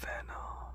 Venom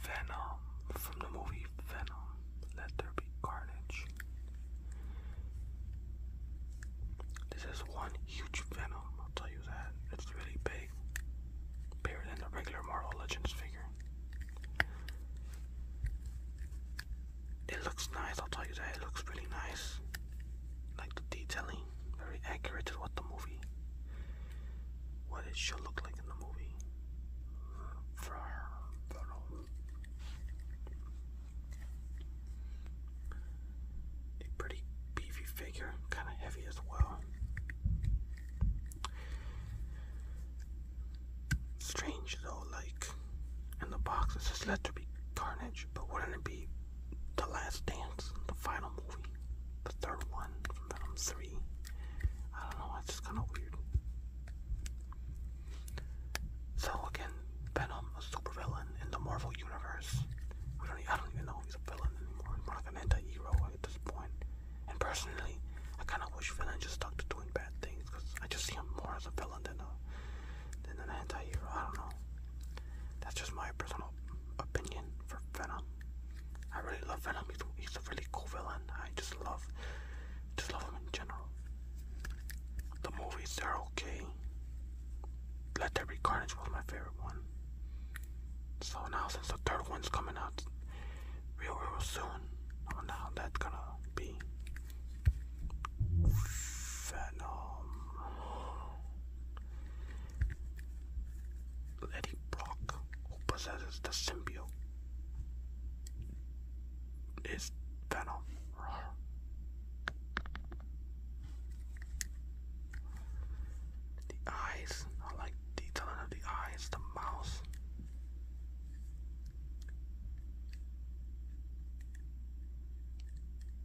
Venom from the movie Venom. Let there be carnage. This is one huge Venom, I'll tell you that. It's really big. Bigger than the regular Marvel Legends figure. It looks nice, I'll tell you that. It looks really nice. Like the detailing very accurate to what the movie, what it should look like in the movie. a pretty beefy figure, kind of heavy as well. Strange though, like in the box it says let there be carnage, but wouldn't it be the Last Dance, the final movie, the third one from Venom 3. I don't know, it's just kind of weird. So again, Venom, a supervillain in the Marvel universe. We don't, I don't even know he's a villain anymore. He's more like an anti-hero at this point. And personally, I kind of wish villains just stuck to doing bad things because I just see him more as a villain than a than an anti I don't know. That's just my personal opinion for Venom. I really love Venom. He's, he's a really cool villain. I just love, just love him in general. The movies are okay. Let There Be Carnage was my favorite one. So now since the third one's coming out real real soon, now that's gonna be. Venom. Letty Brock, possesses the symbiote, is Venom. The eyes, I like detailing of the eyes, the mouth.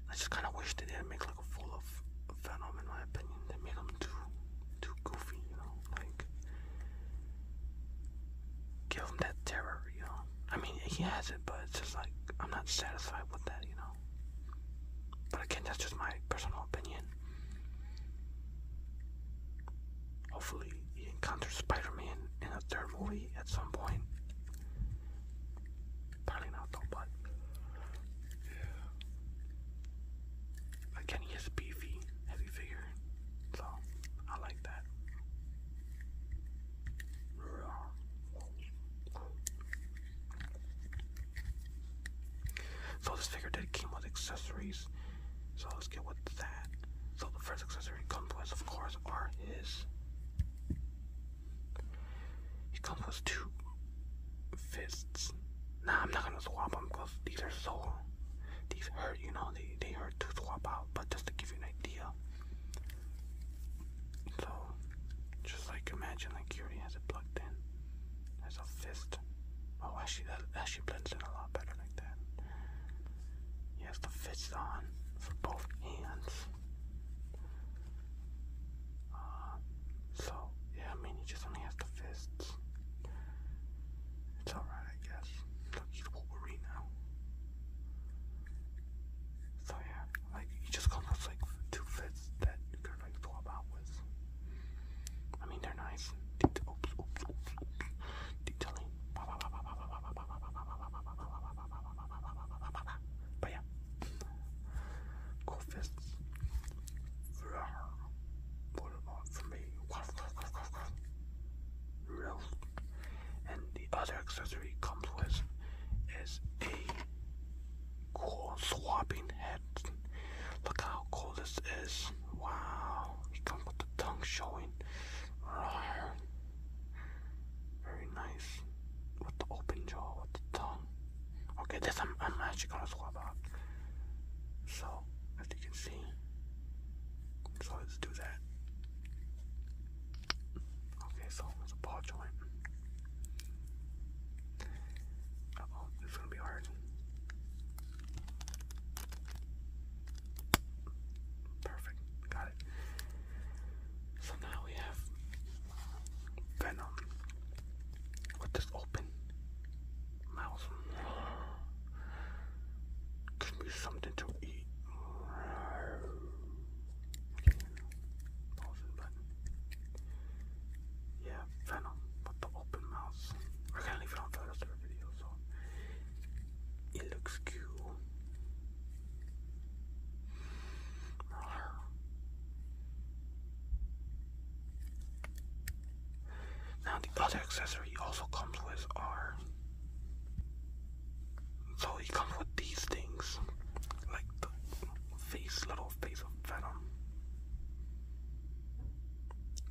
I just kind of wish they didn't make full of venom in my opinion. They made him too too goofy, you know, like give him that terror, you know. I mean he has it but it's just like I'm not satisfied with that, you know. But again that's just my personal opinion. Hopefully he encounters Spider Man in a third movie at some point. Probably not though, but yeah. Again, he is beefy, heavy figure, so I like that. So this figure did came with accessories. So let's get with that. So the first accessory comes with, of course, are his he comes with two fists. Nah, I'm not gonna swap them because these are so. These hurt, you know, they, they hurt to swap out, but just to give you an idea. So, just like imagine, like, he already has it plugged in. There's a fist. Oh, actually, that actually blends in a lot better like that. He has the fists on for both hands. Uh, so, yeah, I mean, he just only has the fists. It's alright, I guess. Look, he's Wolverine now. So, yeah, like, he just comes with, like, two fists that you could, like, swap I mean, they're nice. Oops, oops, oops, oops. Detailing. But yeah. Cool fists. For me. And the other accessory comes with is a cool swapping head. Look how cool this is. Wow. It comes with the tongue showing. Very nice. With the open jaw, with the tongue. Okay, this I'm, actually gonna swap out. So, as you can see, so let's do that. Okay, so it's a ball joint. oh, it's gonna be hard. Perfect, got it. So now we have Venom. With this open mouth. Give me something to eat. Yeah, Venom with the open mouth. We're gonna leave it on for the rest so it looks cute. Now the other accessory also comes with are so he comes with these things, like the face, little face of Venom.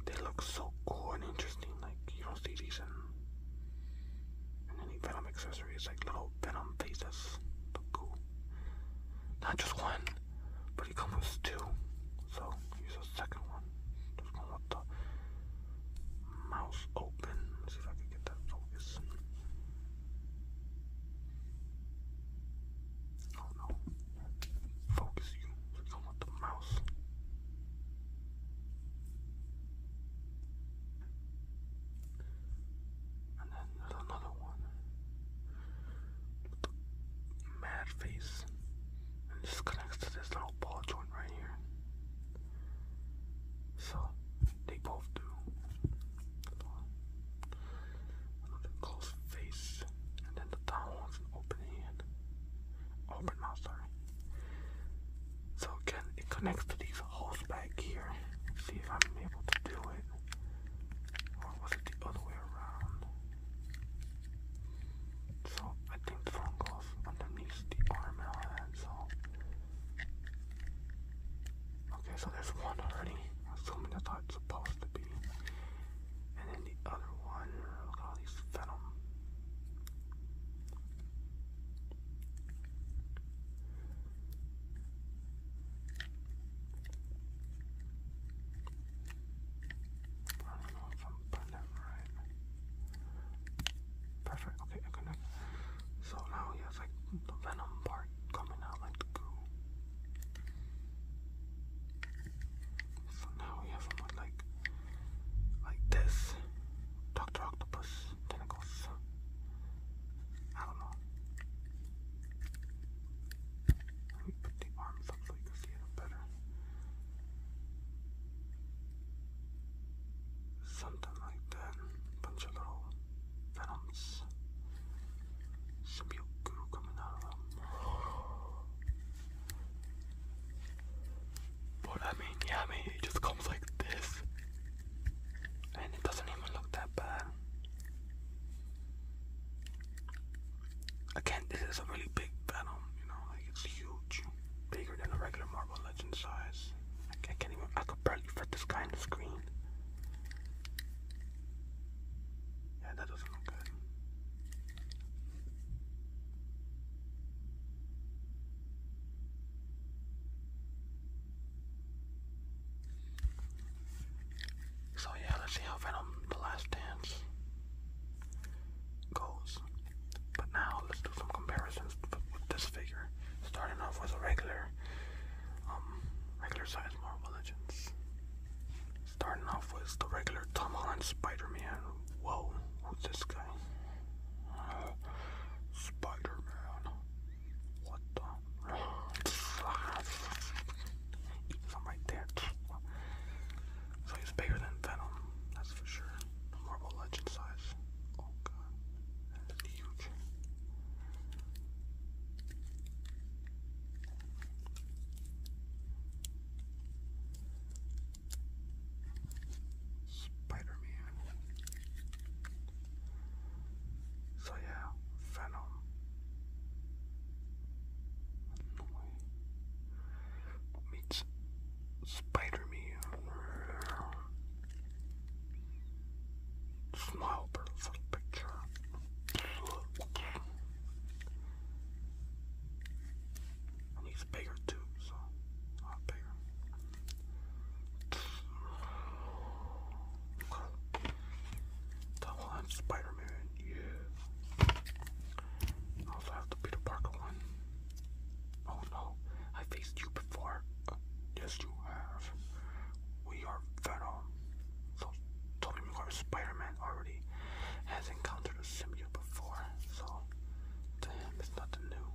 They look so cool and interesting. Like you don't see these in, any Venom accessories. Like little Venom faces, cool. Not just one but he comes with two, so here's the second one. This one with the mouse open. see if I can get that focus. Oh no. Focus you. So you come with the mouse. And then another one. Mad face. And this connects to this little ball joint right here. So they both do. Another close face. And then the down one's an open hand. Open mouth, So again, it connects to these holes back here. see if I'm able to do it was it the other way around? So I think the phone goes underneath the arm and all so Okay, so there's one already. Assuming that's how it's supposed to be. And then the other one, look all these venom. I don't know if I'm putting it right. Perfect. Okay, okay, okay. So now we have like the venom part coming out like the goo. So now we have him with like like this. Doctor Octopus tentacles. I don't know. Let me put the arms up so you can see it better. Something like that. Bunch of little venoms. Symbiote goo coming out of them. But I mean, yeah, I mean, it just comes like this. And it doesn't even look that bad. Again, this is a really big Venom, you know, like it's huge, bigger than a regular Marvel Legend size. I can't even, I could barely fit this guy in the screen. Yeah, that doesn't look good. So yeah, let's see how Venom The Last Dance goes. But now let's do some comparisons with this figure. Starting off with a regular, um, regular size Marvel Legends. Starting off with the regular Tom Holland Spider-Man. Whoa, who's this guy? Uh, Spider-Man. What the? eating right there. So he's bigger than Venom, that's for sure. Marvel Legend size. Oh god, that is huge. Spider Man. So yeah, Venom meets Spider-Man. Smile for the picture. he's bigger too, so not bigger. Double on Spider Man, yeah. I also have the Peter Parker one. Oh no, I faced you before. Uh, yes, you have. We are Venom. So, Tobey Maguire Spider Man already has encountered a symbiote before, so to him, it's nothing new.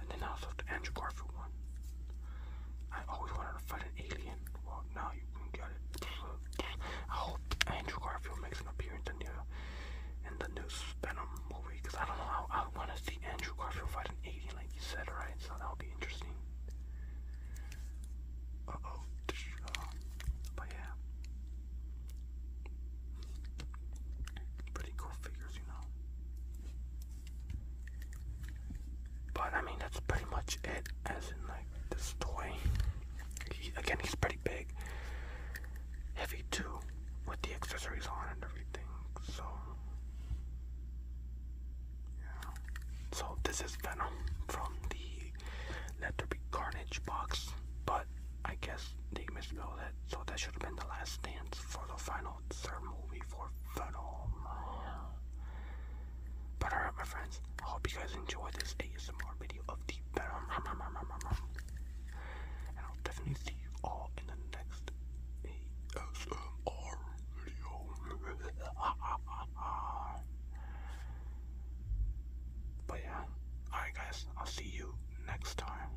And then I also have the Andrew Garfield one. I always wanted to fight an alien. Well, now you can get it. I hope Andrew Garfield makes an appearance in the, in the new movie, because I don't know, I, I want to see Andrew Garfield fight an alien, like you said, right? So that'll be interesting. Uh-oh. Uh, but yeah. Pretty cool figures, you know. But I mean, that's pretty much it, as in like this toy. again, he's pretty big, heavy too, with the accessories on and everything. So, yeah. So this is Venom from the Let There Be Carnage box, but I guess they misspelled it, so that should have been the last stance for the final notes movie for film. But alright, my friends, I hope you guys enjoy this ASMR video of the Venom. And I'll definitely see you all in the next ASMR video. but yeah, alright, guys, I'll see you next time.